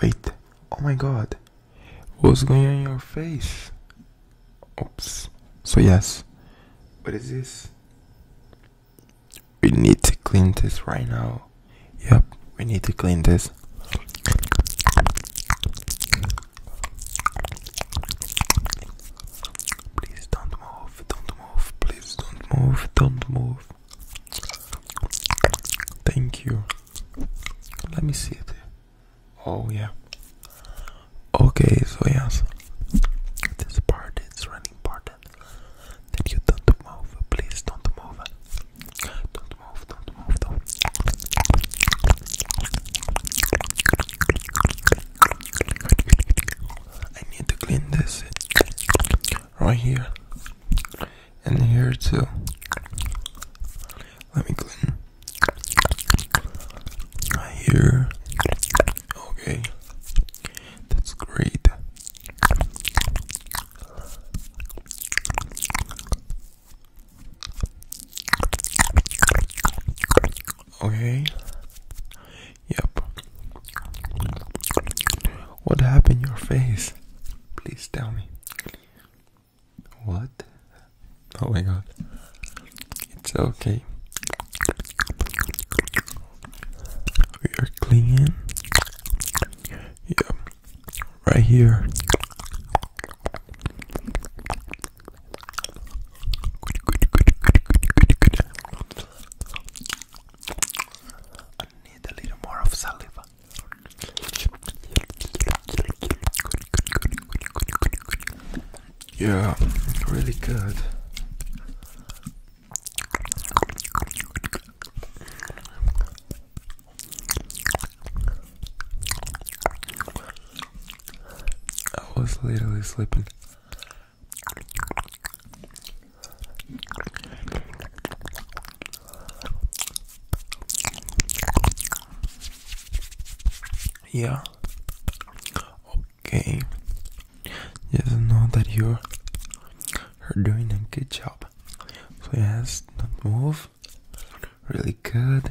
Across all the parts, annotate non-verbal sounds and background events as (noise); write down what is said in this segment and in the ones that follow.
Wait, oh my god. What's going on your face? Oops. So yes. What is this? We need to clean this right now. Yep, we need to clean this. Please don't move, don't move, please don't move, don't move. Thank you. Let me see it. Oh, yeah. Okay, so yes. This part is running part that you don't move. Please don't move. Don't move, don't move, don't. I need to clean this right here and here too. Let me clean here. Okay, that's great. Okay, Yep. What happened to your face? Please tell me. What? Oh my god. It's okay. We are clean. Yep. Right here. I need a little more of saliva. Yeah, really good. I was literally sleeping. Yeah. Okay. Just know that you're doing a good job. So yes, not move. Really good,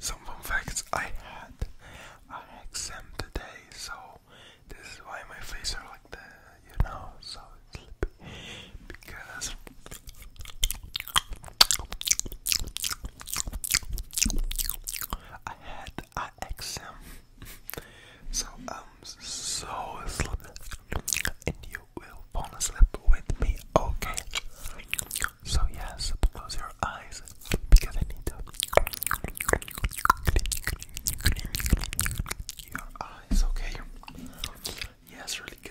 Some fun facts I had. I had exam today, so this is why my face are like uh, you know, so sleepy because I had an so I'm so sleepy, and you will fall asleep with me, okay? So, yes, close your eyes because I need to your eyes, okay? Yeah, it's really good.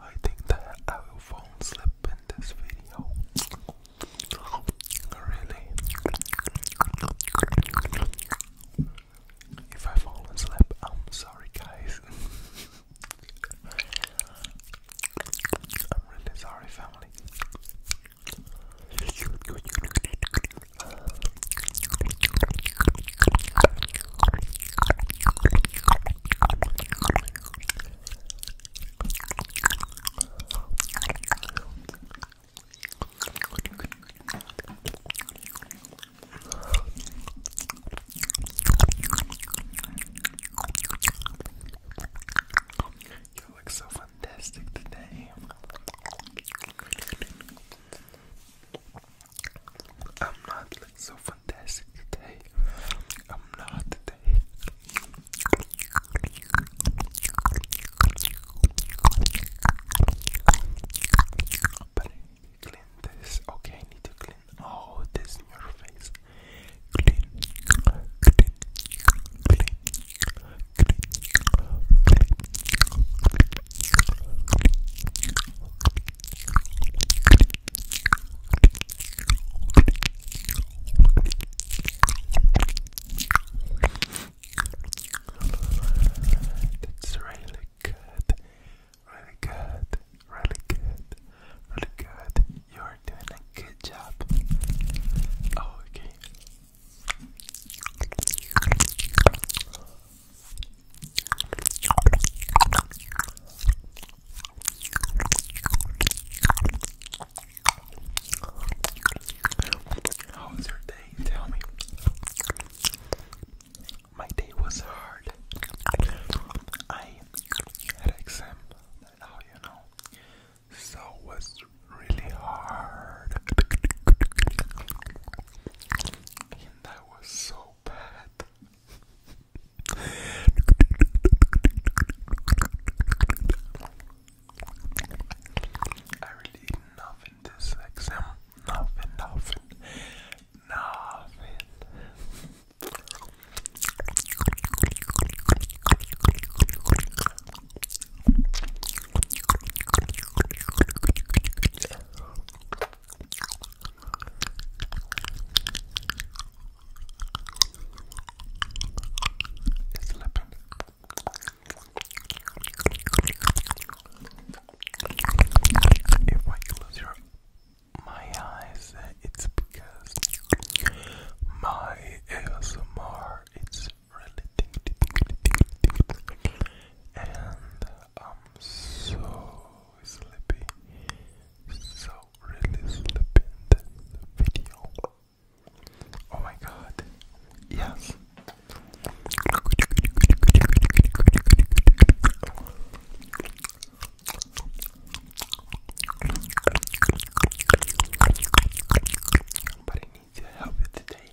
I think that I will fall asleep in this video. Really? If I fall asleep, I'm sorry, guys. (laughs) I'm really sorry, family. You look so fantastic today. I'm not looking so fantastic today. I'm not today. But clean this. Okay, need to clean all this in your face. Clean, clean, clean, it's really good, really good, really good, really good. You're doing a good job. Oh, okay, how was your day? Tell me. My day was hard. I had exam, So was really hard. And that was so bad. I really nothing this exam. Nothing, nothing, nothing. Slipping. If I close your my eyes, it's because my ASMR it's and I'm so sleepy, so really sleepy in video. Oh my god, yes. But I need to help you today.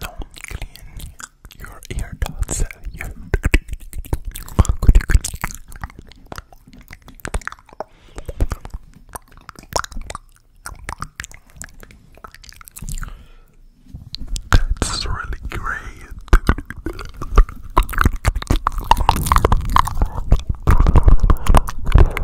non clean your ear dots. Your That's really great.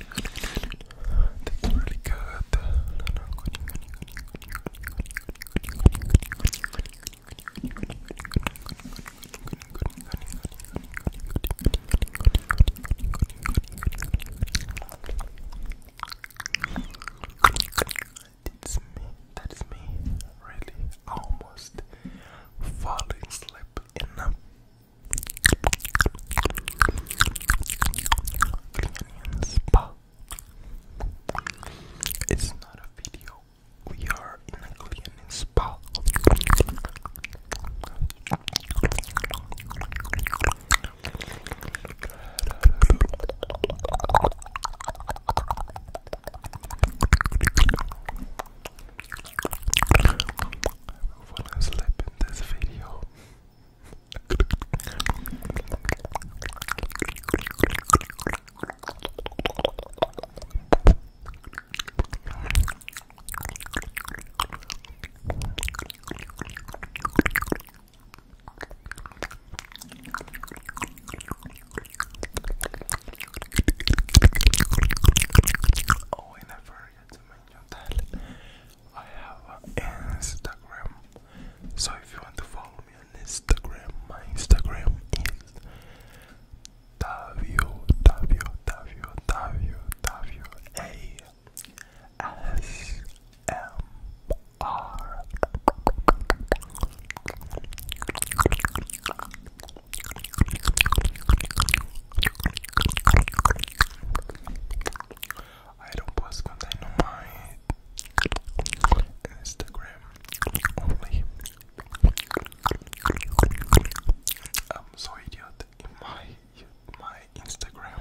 That's really me, that is me, really almost falling asleep in Canadian spa. It's not a video. We are in a Canadian spa. When I slip in this video, oh, I never forget I have an Instagram. So if you want to follow me on Instagram, my Instagram is www.asmr. Iron Plus contained on my Instagram I'm so idiot in my my Instagram.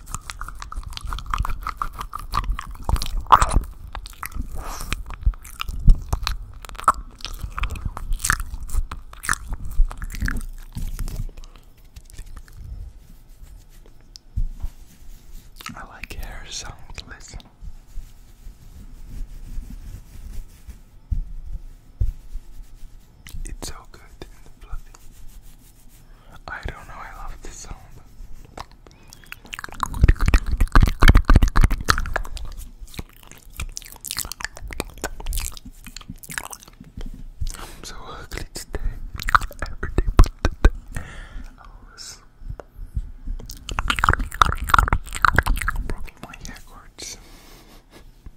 I like hair sounds, listen. It's so good and fluffy. I don't know, I love this song. I'm so ugly today. Every day but today. I was broken my hair cords.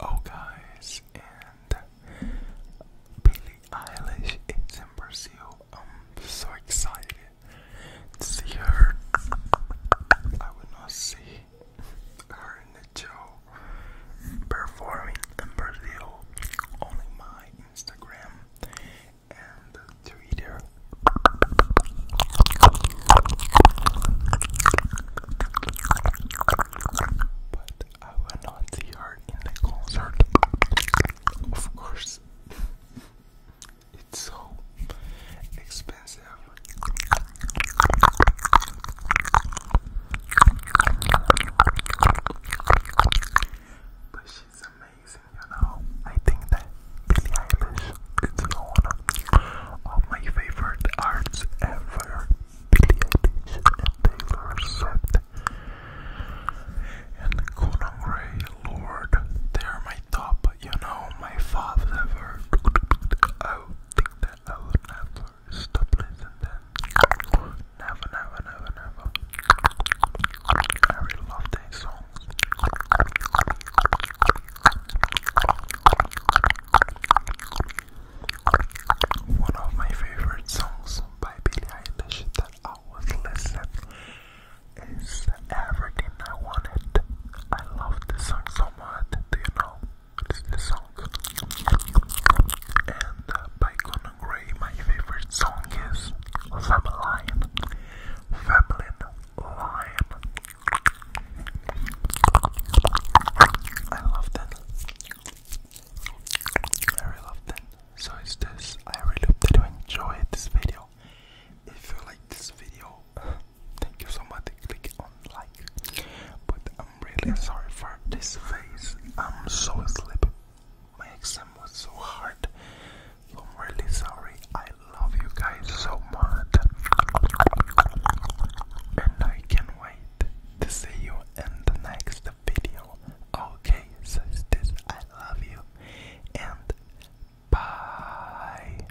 Oh, guys, and Billie Eilish is in Brazil. I'm so excited to see her. I will not see her in performing in Brazil on my Instagram and Twitter. But I will not see her in the concert. Of course, (laughs) it's so expensive expensive. But she's amazing, you know. I think that Billie Eilish is one of my favorite artists ever. Billie Eilish Taylor Swift and Conan Gray, Lord, they are my top, you know, my five ever. I think that I will never stop listening Never, never, never, never. I really love their songs. One of my favorite songs by Billie Eilish that I was listening is Everything I Wanted. I love this song so much, do you know? the song. And uh, by Conan Gray, my favorite song is Fabeline. Fabulin Lion. I love that. I really love that. So it's this. I really hope that you enjoy this video. If you like this video, Thank you so much. Click on like. But I'm really sorry for this face. I'm so sleepy. My exam was so hard. I'm really sorry. I love you guys so much. And I can't wait to see you in the next video. Okay, so I love you and bye.